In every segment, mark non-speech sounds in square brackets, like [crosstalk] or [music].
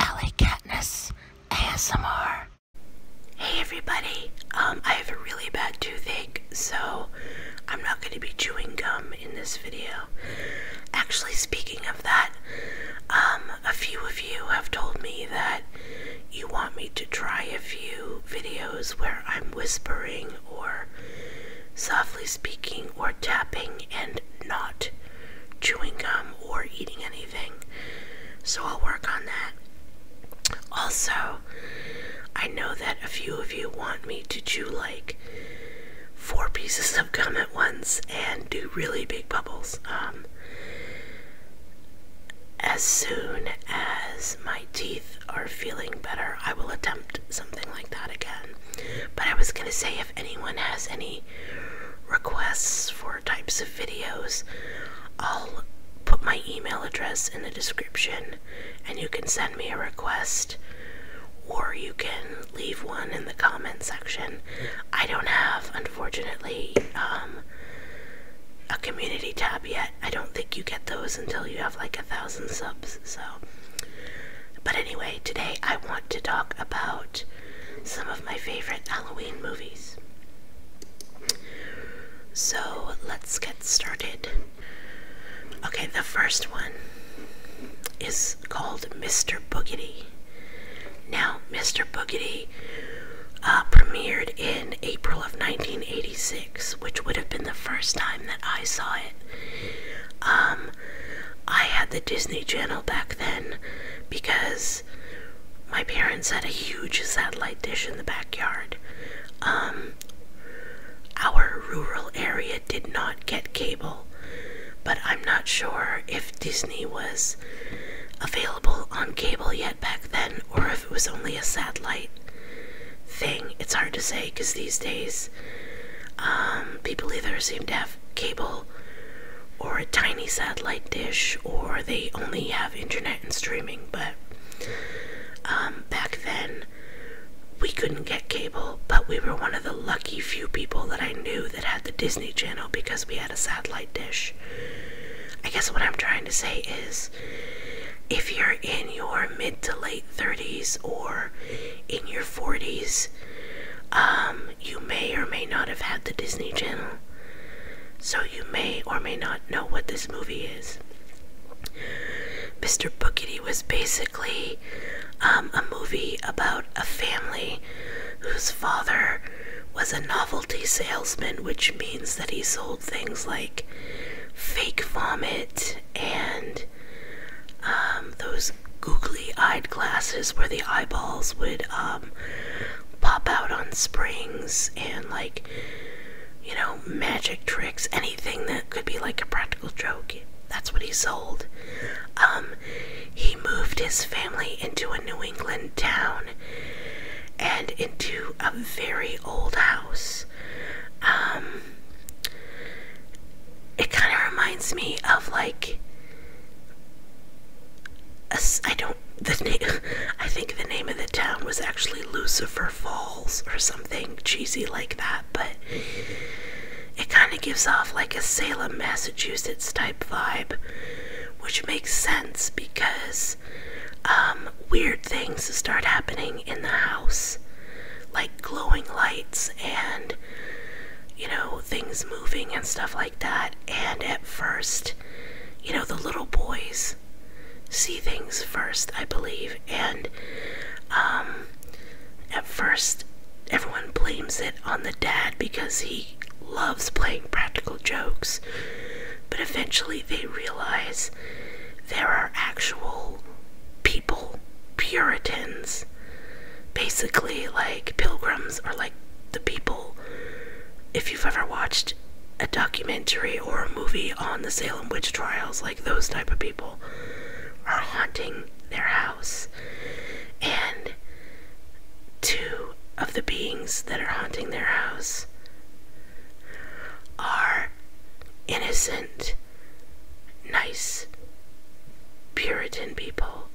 Ellie Katniss ASMR. Hey everybody, um, I have a really bad toothache, so I'm not going to be chewing gum in this video. Actually, speaking of that, um, a few of you have told me that you want me to try a few videos where I'm whispering or softly speaking or tapping and not chewing gum eating anything. So I'll work on that. Also, I know that a few of you want me to chew like four pieces of gum at once and do really big bubbles. Um, as soon as my teeth are feeling better, I will attempt something like that again. But I was gonna say if anyone has any requests for types of videos, I'll put my email address in the description and you can send me a request or you can leave one in the comment section. I don't have, unfortunately, um, a community tab yet. I don't think you get those until you have like a thousand subs, so. But anyway, today I want to talk about some of my favorite Halloween movies. So let's get started. Okay, the first one is called Mr. Boogedy. Now, Mr. Boogedy uh, premiered in April of 1986, which would have been the first time that I saw it. Um, I had the Disney Channel back then because my parents had a huge satellite dish in the backyard. Um, our rural area did not get cable, but I'm not sure if Disney was available on cable yet back then or if it was only a satellite thing. It's hard to say because these days um, people either seem deaf cable or a tiny satellite dish or they only have internet and streaming but um, back then we couldn't get cable but we were one of the lucky few people that i knew that had the disney channel because we had a satellite dish i guess what i'm trying to say is if you're in your mid to late 30s or in your 40s, um, you may or may not have had the Disney Channel. So you may or may not know what this movie is. Mr. Bookity was basically um, a movie about a family whose father was a novelty salesman, which means that he sold things like fake vomit and um, those googly-eyed glasses where the eyeballs would um, pop out on springs and like you know magic tricks anything that could be like a practical joke that's what he sold um, he moved his family into a new england town and into a very old house it kind of reminds me of like a, I don't the name [laughs] I think the name of the town was actually Lucifer Falls or something cheesy like that, but it kind of gives off like a Salem, Massachusetts type vibe, which makes sense because um, weird things start happening in the house, like glowing lights and you know, things moving and stuff like that. And at first, you know, the little boys see things first, I believe. And um, at first, everyone blames it on the dad because he loves playing practical jokes. But eventually, they realize there are actual. people people, Puritans, basically like pilgrims are like the people. If you've ever watched a documentary or a movie on the Salem witch trials, like those type of people are haunting their house. And two of the beings that are haunting their house are innocent nice Puritan people.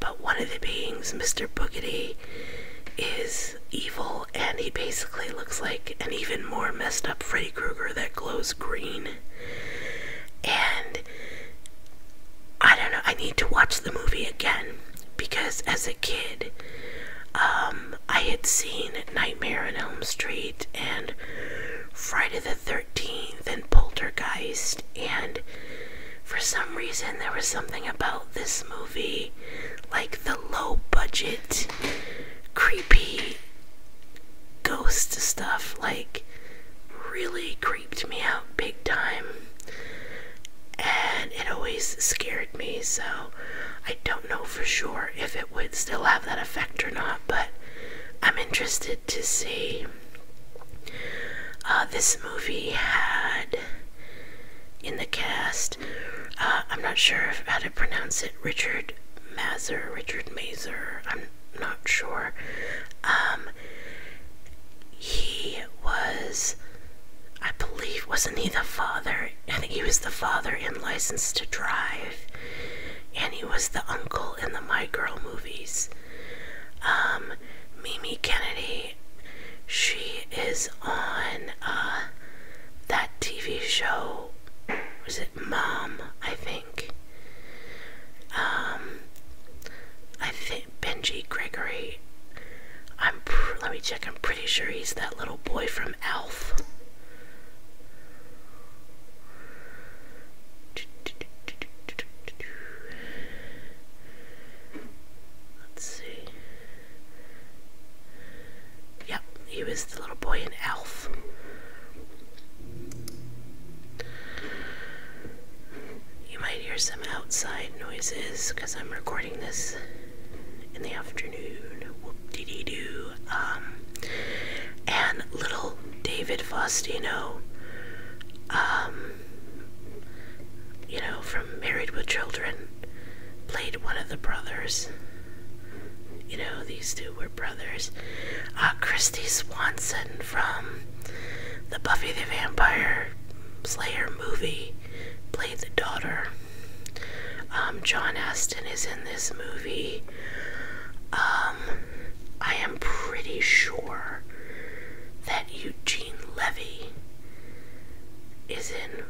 But one of the beings, Mr. Boogity, is evil and he basically looks like an even more messed up Freddy Krueger that glows green. And I don't know, I need to watch the movie again because as a kid, um, I had seen Nightmare on Elm Street and Friday the 13th 13th and Poltergeist, and for some reason there was something about this movie, like the low budget, creepy ghost stuff, like really creeped me out big time. And it always scared me, so I don't know for sure if it would still have that effect or not, but I'm interested to see. Uh, this movie had in the cast, uh, I'm not sure how to pronounce it, Richard Mazer, Richard Mazer, I'm not sure. Um, he was, I believe, wasn't he the father? I think he was the father in License to Drive and he was the uncle in the My Girl movies. Um, Mimi Kennedy, she is on uh, that TV show. Was it Mom? I think. Um, I think Benji Gregory. I'm. Let me check. I'm pretty sure he's that little boy from Elf. Let's see. Yep, he was the little boy in Elf. You might hear some outside noises because I'm recording this in the afternoon. Didi do, Um, and little David Faustino, um, you know, from Married with Children, played one of the brothers. You know, these two were brothers. Uh, Christy Swanson from the Buffy the Vampire Slayer movie played the daughter. Um, John Aston is in this movie. Um, I am pretty sure that Eugene Levy is in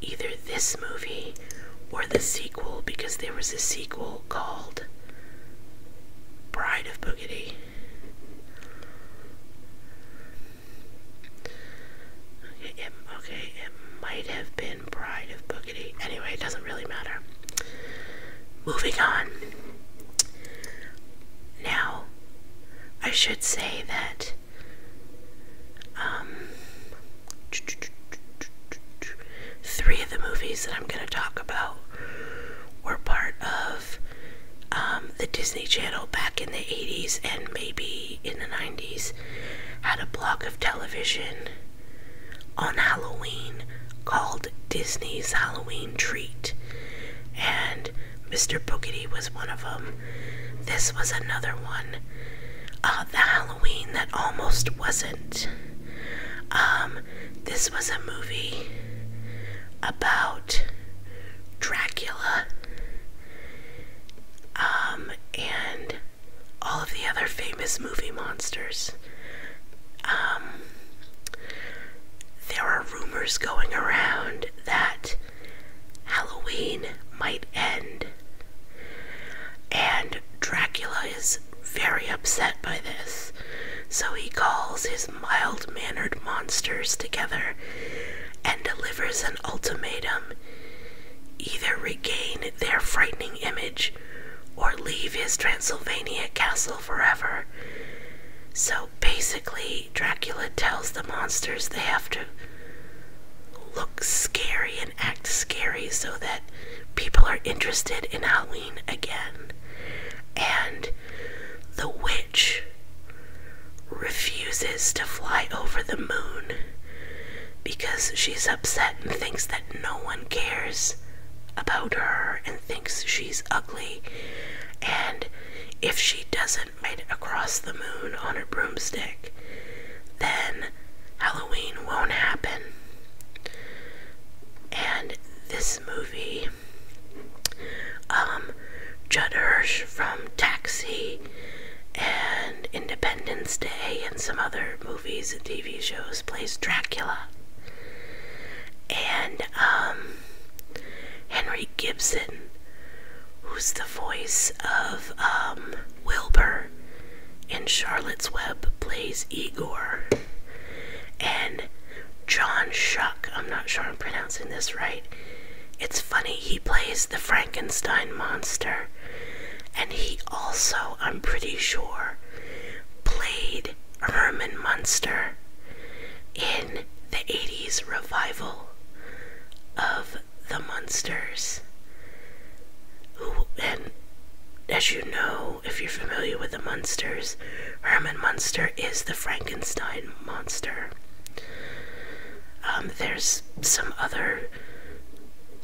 either this movie or the sequel because there was a sequel called Bride of Boogity. okay, it might have been bride of Boogity. Anyway, it doesn't really matter. Moving on. Now, I should say that um, three of the movies that I'm going to talk about were part of um, the Disney Channel back in the 80s and maybe in the 90s, had a block of television on Halloween called Disney's Halloween Treat, and Mr. Boogedy was one of them. This was another one. Uh, the Halloween that almost wasn't. Um, this was a movie about Dracula. Um, and all of the other famous movie monsters. Um, there are rumors going around that Halloween might end, and Dracula is very upset by this, so he calls his mild mannered monsters together and delivers an ultimatum either regain their frightening image or leave his Transylvania castle forever. So basically, Dracula tells the monsters they have to look scary and act scary so that people are interested in Halloween again. And the witch refuses to fly over the moon because she's upset and thinks that no one cares about her and thinks she's ugly. And if she doesn't ride across the moon on her broomstick, then Halloween won't happen. And this movie, um, Judd Hirsch from Taxi and Independence Day and some other movies and TV shows plays Dracula. And um, Henry Gibson, who's the voice of um, Wilbur in Charlotte's Web, plays Igor. And John Shuck, I'm not sure I'm pronouncing this right. It's funny, he plays the Frankenstein monster and he also, I'm pretty sure, played Herman Munster in the 80s revival of the Munsters. Who, and as you know, if you're familiar with the Munsters, Herman Munster is the Frankenstein monster. Um, there's some other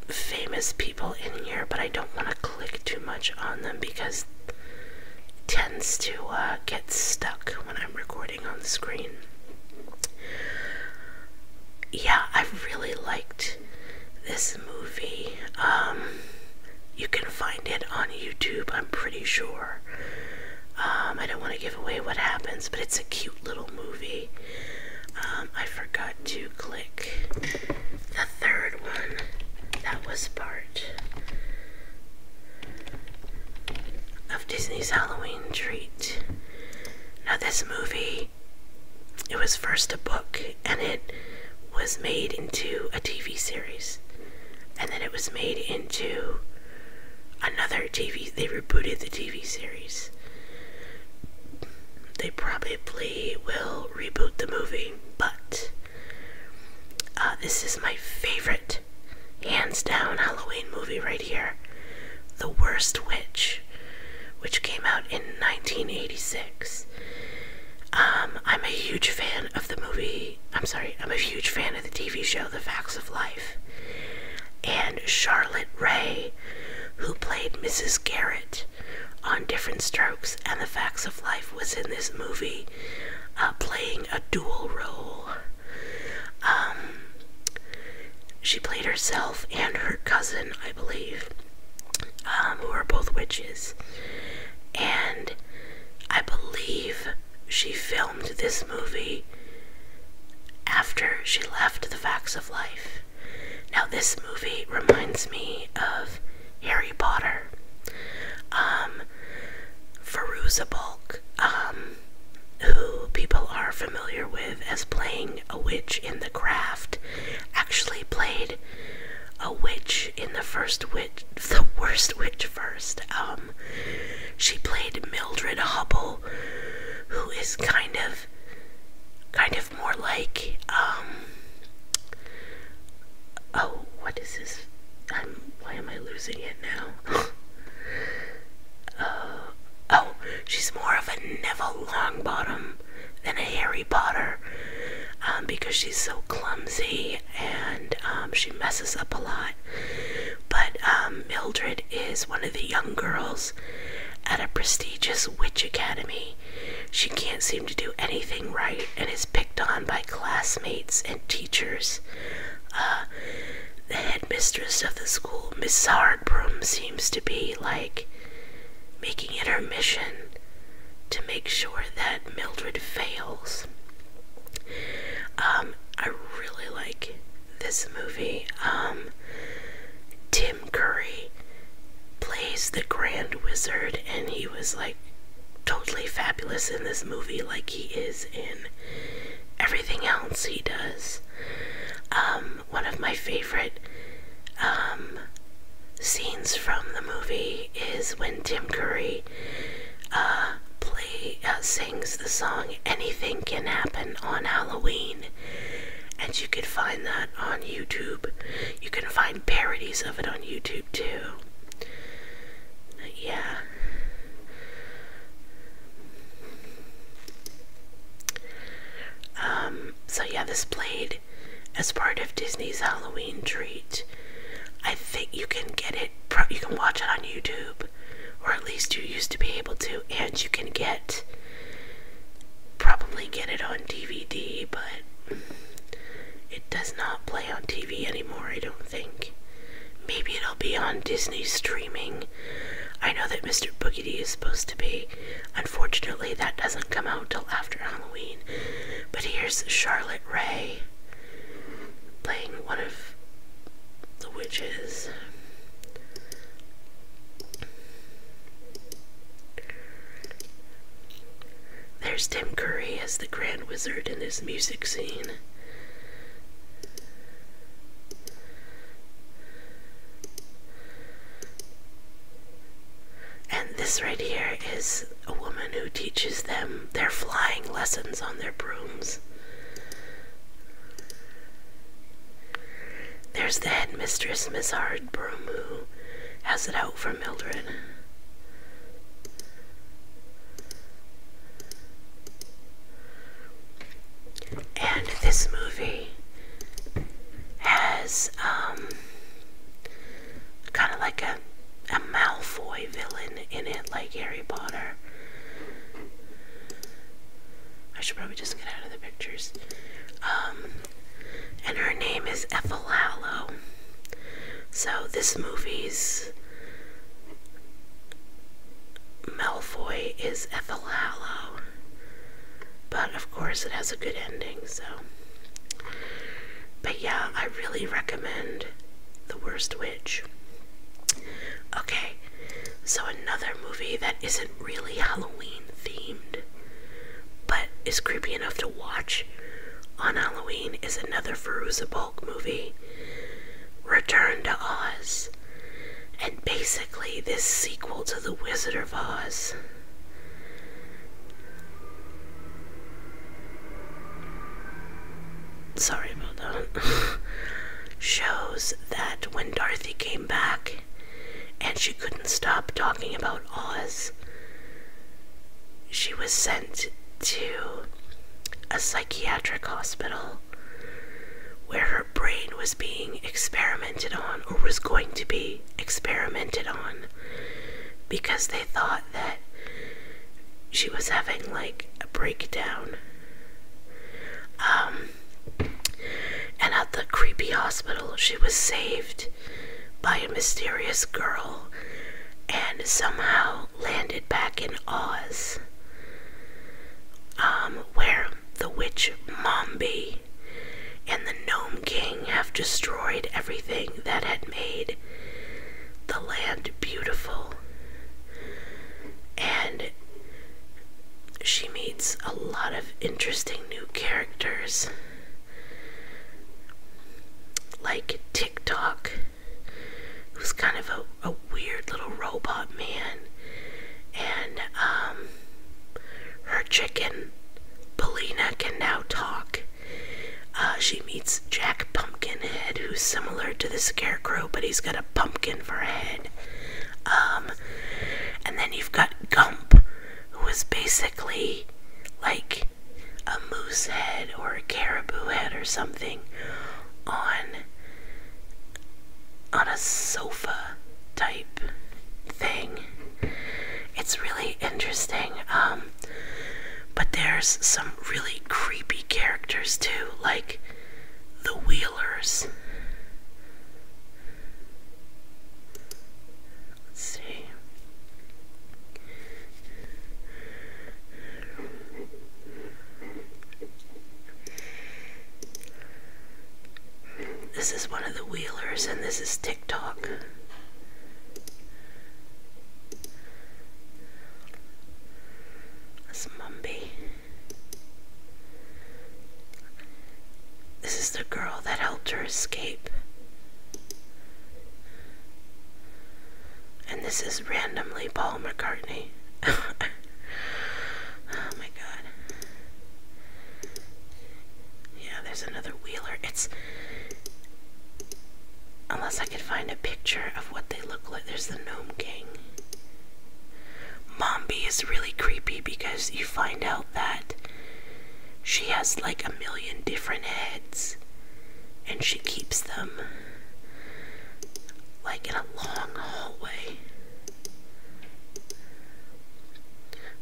famous people in here, but I don't want to click too much on them because tends to uh, get stuck when I'm recording on the screen. Yeah, I really liked this movie. Um, you can find it on YouTube, I'm pretty sure. Um, I don't want to give away what happens, but it's a cute little movie. Um, I forgot to click the third one. That was part of Disney's Halloween treat. Now, this movie, it was first a book and it was made into a TV series, and then it was made into another TV. They rebooted the TV series. They probably will reboot the movie, but uh, this is my favorite, hands down, Halloween movie right here. The Worst Witch, which came out in 1986. Um, I'm a huge fan of the movie. I'm sorry, I'm a huge fan of the TV show The Facts of Life and Charlotte Ray, who played Mrs. Garrett on Different Strokes and The Facts of Life, was in this movie uh, playing a dual role. Um, she played herself and her cousin, I believe, um, who are both witches. And I believe she filmed this movie after she left the facts of life. Now, this movie reminds me of Harry Potter. Um, Feruza Balk, um, who people are familiar with as playing a witch in The Craft, actually played a witch in the first witch, [laughs] the worst witch first. Um, she played Mildred Hubble who is kind of kind of more like um, oh what is this why am I losing it now [laughs] uh, oh she's more of a Neville Longbottom than a Harry Potter um, because she's so clumsy and um, she messes up a lot but um, Mildred is one of the young girls at a prestigious witch academy. She can't seem to do anything right and is picked on by classmates and teachers. Uh, the headmistress of the school, Miss Sardbroom, seems to be like making it her mission to make sure that Mildred fails. Um, I really like this movie. Um, Tim Curry plays the Grand Wizard, and he was like totally fabulous in this movie, like he is in everything else he does. Um, one of my favorite um, scenes from the movie is when Tim Curry uh, plays. Uh, the song Anything Can Happen on Halloween. And you can find that on YouTube. You can find parodies of it on YouTube too. Yeah. Um, so yeah, this played as part of Disney's Halloween treat. I think you can get it, you can watch it on YouTube or at least you used to be able to, and you can get probably get it on DVD, but it does not play on TV anymore, I don't think. Maybe it'll be on Disney streaming. I know that Mr. Boogedy is supposed to be. Unfortunately, that doesn't come out till after Halloween. But here's Charlotte Ray playing one of the witches. There's Tim Curry as the Grand Wizard in this music scene. And this right here is a woman who teaches them their flying lessons on their brooms. There's the headmistress, Miss Hardbroom, who Has it out for Mildred. And this movie has um kind of like a a Malfoy villain in it, like Harry Potter. I should probably just get out of the pictures. Um, and her name is Ethel Effelalo. So this movie's Malfoy is Ethel Effelalo. But of course, it has a good ending, so. But yeah, I really recommend The Worst Okay, so another movie that isn't really Halloween themed, but is creepy enough to watch on Halloween is another Feruza movie, Return to Oz. And basically, this sequel to The Wizard of Oz. Sorry shows that when Dorothy came back and she couldn't stop talking about Oz, she was sent to a psychiatric hospital where her brain was being experimented on or was going to be experimented on because they thought that she was having like a breakdown. Um, and at the creepy hospital, she was saved by a mysterious girl and somehow landed back in Oz, um, where the witch Mombi and the Nome King have destroyed everything that had made the land beautiful. And she meets a lot of interesting new characters like TikTok, who's kind of a, a weird little robot man, and um, her chicken, Belina, can now talk. Uh, she meets Jack Pumpkinhead, who's similar to the Scarecrow, but he's got a pumpkin for a head. Um, and then you've got Gump, who is basically like a moose head or a caribou head or something on on a sofa type thing. It's really interesting. Um, but there's some really creepy characters too, like the Wheelers. Let's see. This is one of the Wheelers, and this is TikTok. That's Mumby. This is the girl that helped her escape. And this is randomly Paul McCartney. [laughs] oh my god. Yeah, there's another wheeler. It's Unless I could find a picture of what they look like. There's the Gnome King. Mombi is really creepy because you find out that she has like a million different heads and she keeps them like in a long hallway.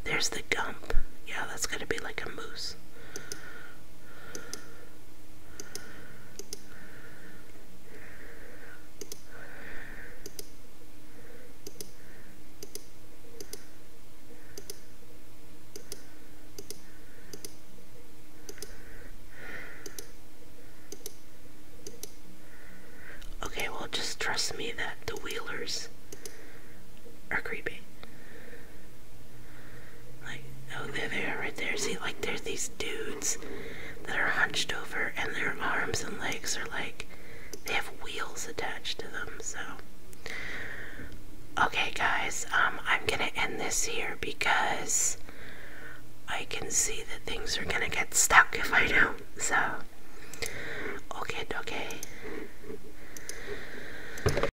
There's the Gump. Yeah, that's going to be like a movie. Okay, well, just trust me that the wheelers are creepy. Like, oh, they are there, right there. See, like, there's these dudes that are hunched over, and their arms and legs are like, they have wheels attached to them, so. Okay, guys, um, I'm gonna end this here because I can see that things are gonna get stuck if I don't, so. Okay, okay.